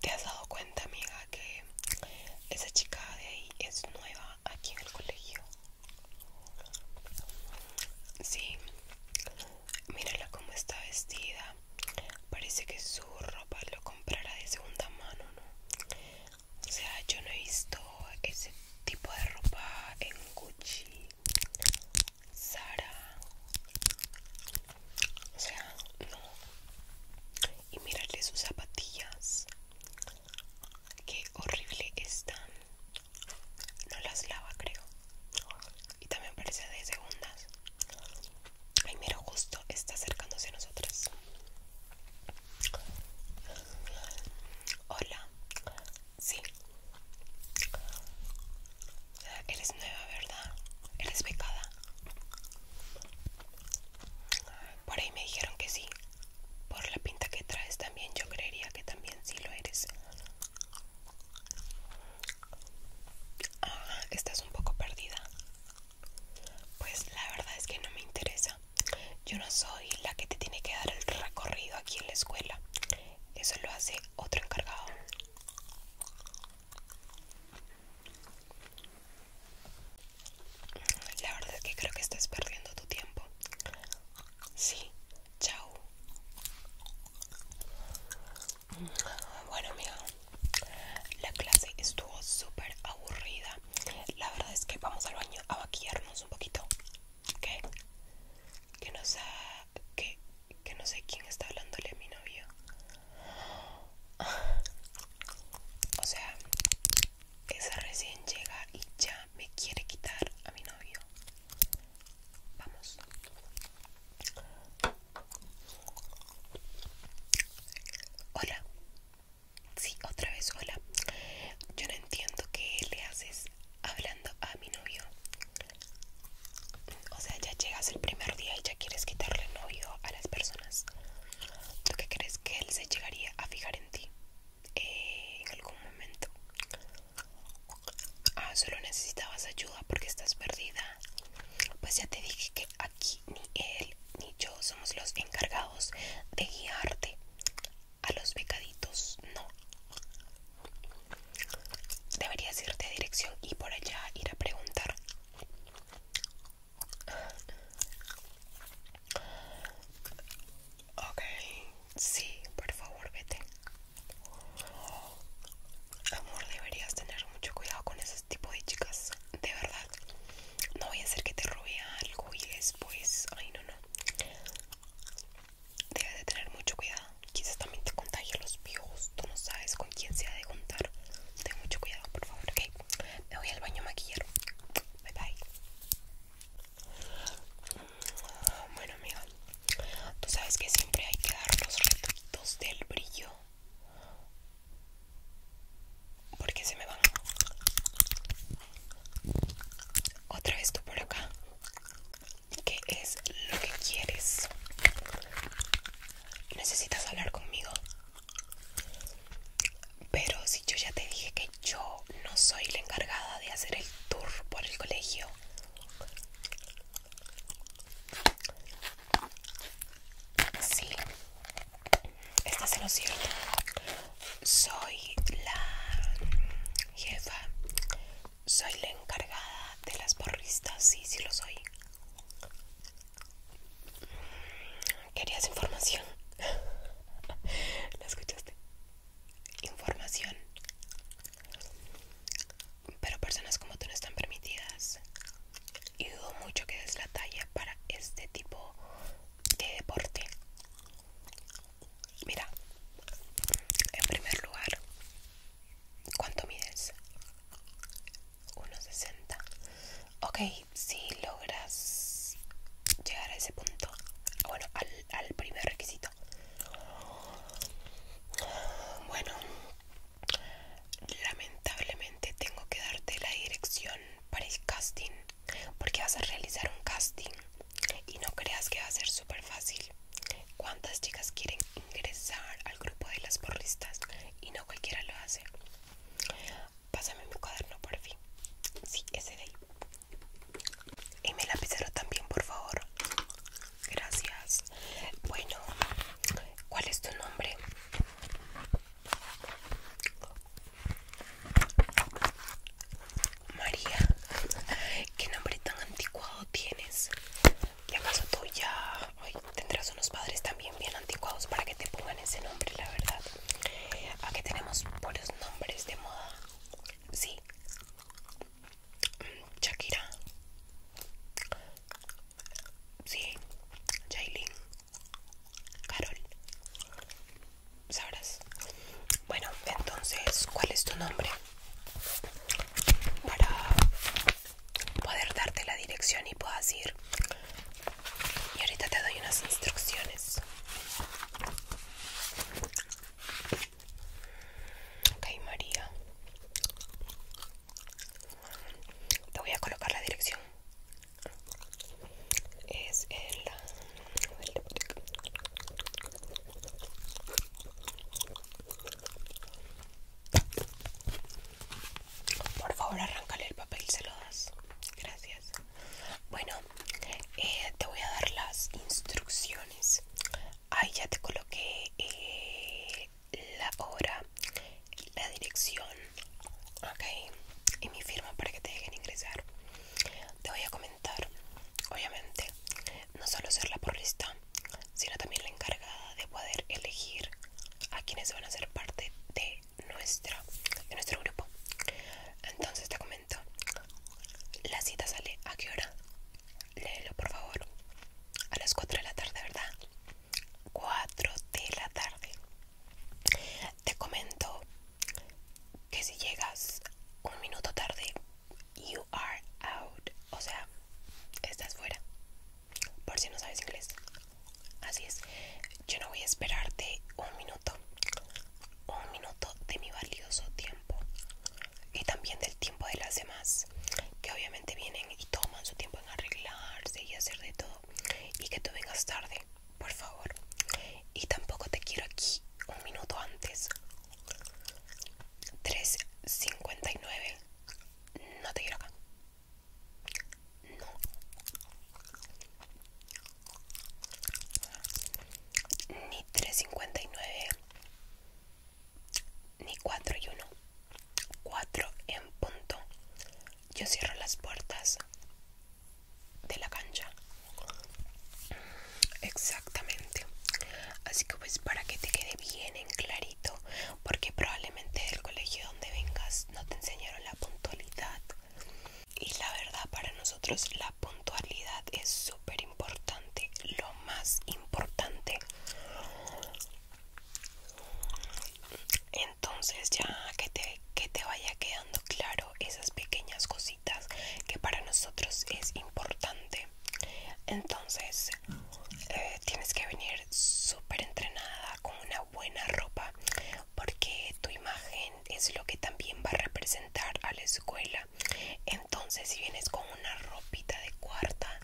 ¿Te has dado cuenta, amiga, que esa chica de ahí es nueva aquí en el colegio? Sí, mírala cómo está vestida. Parece que su ropa lo comprará de segunda mano, ¿no? O sea, yo no he visto ese tipo de ropa en Gucci, Sara. O sea, no. Y mirarle sus zapatillas. Qué horrible están. No las lava, creo. Y también parece de segundas. Ay, mira, justo está acercándose a nosotras. Hola. Sí. Eres nueva, ¿verdad? Eres becada. Por ahí me dijeron que sí. Por la pinta que traes también, yo creería que también sí lo eres. Ah, estás un poco perdida. Pues la verdad es que no me interesa. Yo no soy la que te tiene que dar el recorrido aquí en la escuela. Eso lo hace otro encargado. La verdad es que creo que estás perdiendo tu tiempo. Sí, chao. Bueno amiga, la clase estuvo súper aburrida. La verdad es que vamos al baño a baquillarnos un poquito. ¿Qué? Que no sé, no sé quién está hablándole a mi novio. O sea, esa recién llega y ya me quiere quitar a mi novio. Vamos. Hola. Sí, otra vez, hola. Yo no entiendo qué le haces hablando a mi novio. O sea, ya llegas el primer día y ya quieres quitarle novio a las personas. ¿Tú qué crees que él se llegaría a fijar en ti eh, en algún momento? Ah, solo necesitabas ayuda porque estás perdida. Pues ya te dije que aquí ni él ni yo somos los encargados de guiarte a los becaditos, no. Deberías irte a dirección y por allá ir a preguntar. Ok, sí, por favor, vete. Amor, deberías tener mucho cuidado con ese tipo de chicas, de verdad. No voy a hacer que te robe algo y después, ay no, no. Debes de tener mucho cuidado. Quizás también te contagie los piojos. Tú no sabes con quién se ha de contar. Ten mucho cuidado, por favor, ok. Me voy al baño a maquillar. Bye bye. Bueno, amiga. Tú sabes que siempre hay que dar los retoques del brillo porque se me van. Otra vez tú por acá. ¿Qué es lo que quieres? Necesitas hablar conmigo. Pero si yo ya te dije que yo no soy la encargada de hacer el tour por el colegio, Sí, esto es lo cierto. Soy la jefa. Soy la encargada de las porristas. Sí, sí lo soy. Querías información. ¿La escuchaste? Información. Pero personas como tú no están permitidas. Y dudo mucho que des la talla para este tipo de deporte. Mira, en primer lugar, ¿cuánto mides? 1,60. Ok, si logras llegar a ese punto, ah, bueno, al, al primer requisito bueno lamentablemente tengo que darte la dirección para el casting porque vas a realizar un casting y no creas que va a ser súper fácil cuántas chicas quieren ingresar al grupo de las porristas y no cualquiera lo hace pásame mi cuaderno por fin sí ese de ahí y la lapicero también, por favor. Gracias. Bueno, ¿cuál es tu nombre? María. ¿Qué nombre tan anticuado tienes? ¿Y acaso tú ya tendrás unos padres también bien anticuados para que te pongan ese nombre, la verdad? Aquí tenemos buenos nombres de moda. Sí. Shakira. Sí, Jailin. Carol. Sabrás. Bueno, entonces, ¿cuál es tu nombre? Para poder darte la dirección y puedas ir. Y ahorita te doy unas instrucciones. Ok, María. Te voy a colocar la dirección. Es el... Por favor, arráncale el papel, se lo das. Gracias. Bueno, eh, te voy a dar las instrucciones ahí ya te coloqué eh, la hora la dirección ok y mi firma para que te dejen ingresar te voy a comentar obviamente no solo ser la porrista sino también la encargada de poder elegir a quienes van a ser parte de nuestra de nuestro grupo entonces te comento la cita sale a qué hora? Léelo, por favor. A las 4 de la tarde, ¿verdad? 4 de la tarde. Te comento que si llegas un minuto tarde, you are out. O sea, estás fuera. Por si no sabes inglés. Así es. Yo no voy a esperarte un minuto un minuto de mi valioso tiempo y también del tiempo de las demás que obviamente vienen y toman su tiempo en arreglarse y hacer de todo y que tú vengas tarde por favor y tampoco te quiero aquí un minuto antes 3.59 no te quiero acá no ni 3.59 ni 4 y 1 4 en punto yo cierro las puertas de la cancha exactamente así que pues para que te quede bien en clarito porque probablemente el colegio donde vengas no te enseñaron la puntualidad y la verdad para nosotros la puntualidad es súper importante, lo más importante. Entonces ya que te, que te vaya quedando claro esas pequeñas cositas que para nosotros es importante. Entonces eh, tienes que venir súper entrenada con una buena ropa porque tu imagen es lo que también va a representar a la escuela. Entonces, si vienes con una ropita de cuarta,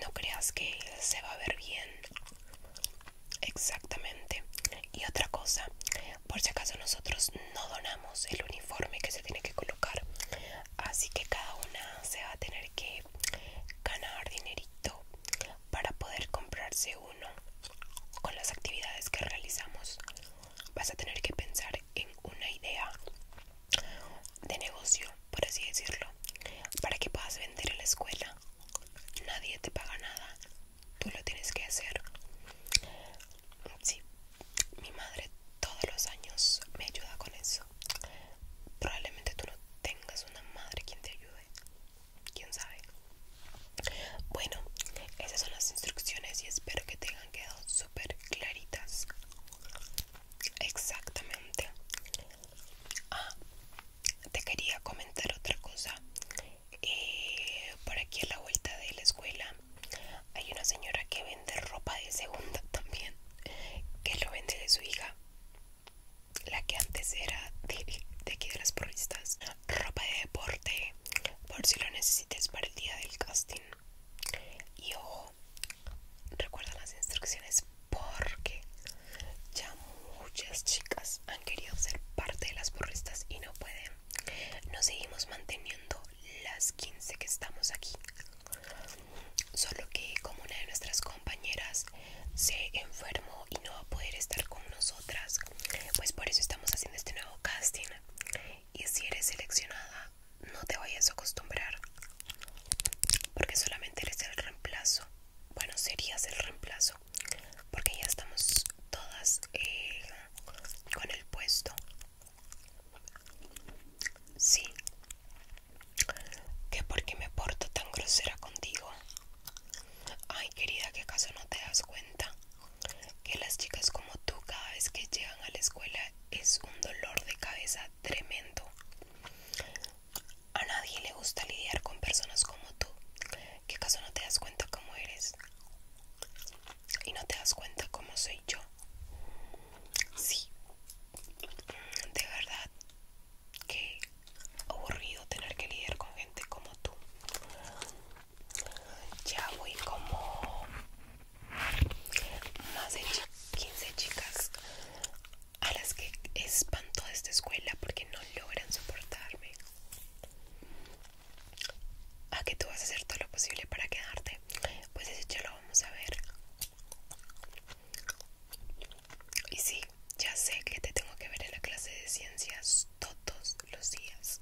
no creas que se va a ver bien. Exactamente. Y otra cosa, por si acaso nosotros no donamos el uniforme que se tiene que colocar, así que cada una se va a tener que ganar dinerito para poder comprarse uno con las actividades que realizamos vas a tener que pensar en una idea de negocio por así decirlo para que puedas vender en la escuela nadie te paga nada tú lo tienes que hacer sí mi madre todos los años me ayuda con eso probablemente tú no tengas una madre quien te ayude quién sabe. Bueno, esas son las instrucciones y espero que tengan quedado súper claritas. Exactamente. Ah, te quería comentar otra cosa. Eh, por aquí a la vuelta de la escuela hay una señora que vende ropa de segunda también, que lo vende de su hija, la que antes era de, de aquí de las porristas ropa de deporte por si lo necesites para el día del casting. Y ojo, recuerda las instrucciones porque ya muchas chicas han querido ser parte de las burristas y no pueden. Nos seguimos manteniendo las 15 que estamos aquí. Solo que como una de nuestras compañeras se enfermó y no va a poder estar con nosotras. Pues por eso estamos haciendo este nuevo casting. Y si eres seleccionada, no te vayas a acostumbrar. Porque solamente eres el reemplazo. Bueno, serías el reemplazo. Porque ya estamos todas eh, con el puesto. Sí. ¿Que porque me porto tan grosera contigo? Ay querida, ¿qué acaso no te das cuenta? Que las chicas como tú cada vez que llegan a la escuela es un dolor de cabeza tremendo. A nadie le gusta lidiar con personas como tú. ¿Qué acaso no te das cuenta cómo eres? Y no te das cuenta cómo soy yo. Sí. De verdad, Qué aburrido tener que lidiar con gente como tú. Ya voy como más de 15 chicas a las que espanto de esta escuela porque no logran soportarme. A que tú vas a hacer todo lo posible para quedarte. Pues eso ya lo vamos a ver. Y sí, ya sé que te tengo que ver en la clase de ciencias todos los días.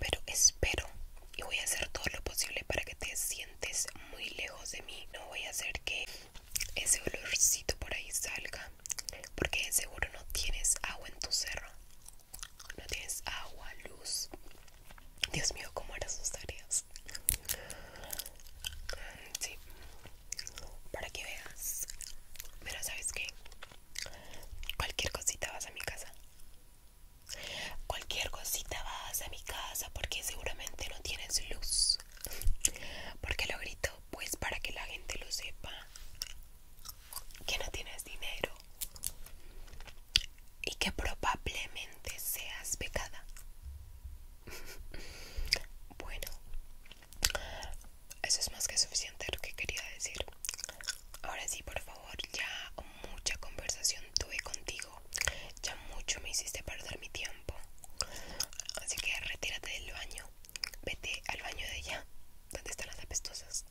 Pero espero y voy a hacer todo lo posible para que te sientes muy lejos de mí. No voy a hacer que ese olorcito por ahí salga. Porque seguro no tienes agua en tu cerro. No tienes agua, luz. Dios mío, cómo eran sus tareas. Sí, para que veas. Pero sabes que cualquier cosita vas a mi casa. Cualquier cosita vas a mi casa porque seguramente no tienes luz. Porque lo grito, pues para que la gente lo sepa. Que no tienes dinero. Y que probablemente seas pecada bueno eso es más que suficiente lo que quería decir ahora sí por favor ya mucha conversación tuve contigo ya mucho me hiciste perder mi tiempo así que retírate del baño vete al baño de ella donde están las apestosas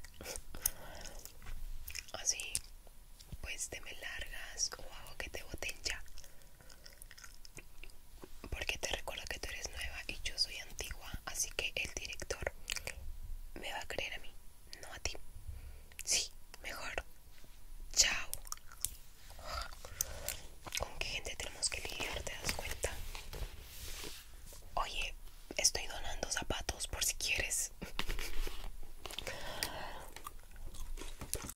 así pues te me largas o hago que te boten ya porque te recuerdo que tú eres nueva y yo soy antigua, así que el director me va a creer a mí, no a ti. Sí, mejor. Chao. ¿Con qué gente tenemos que lidiar? ¿Te das cuenta? Oye, estoy donando zapatos por si quieres.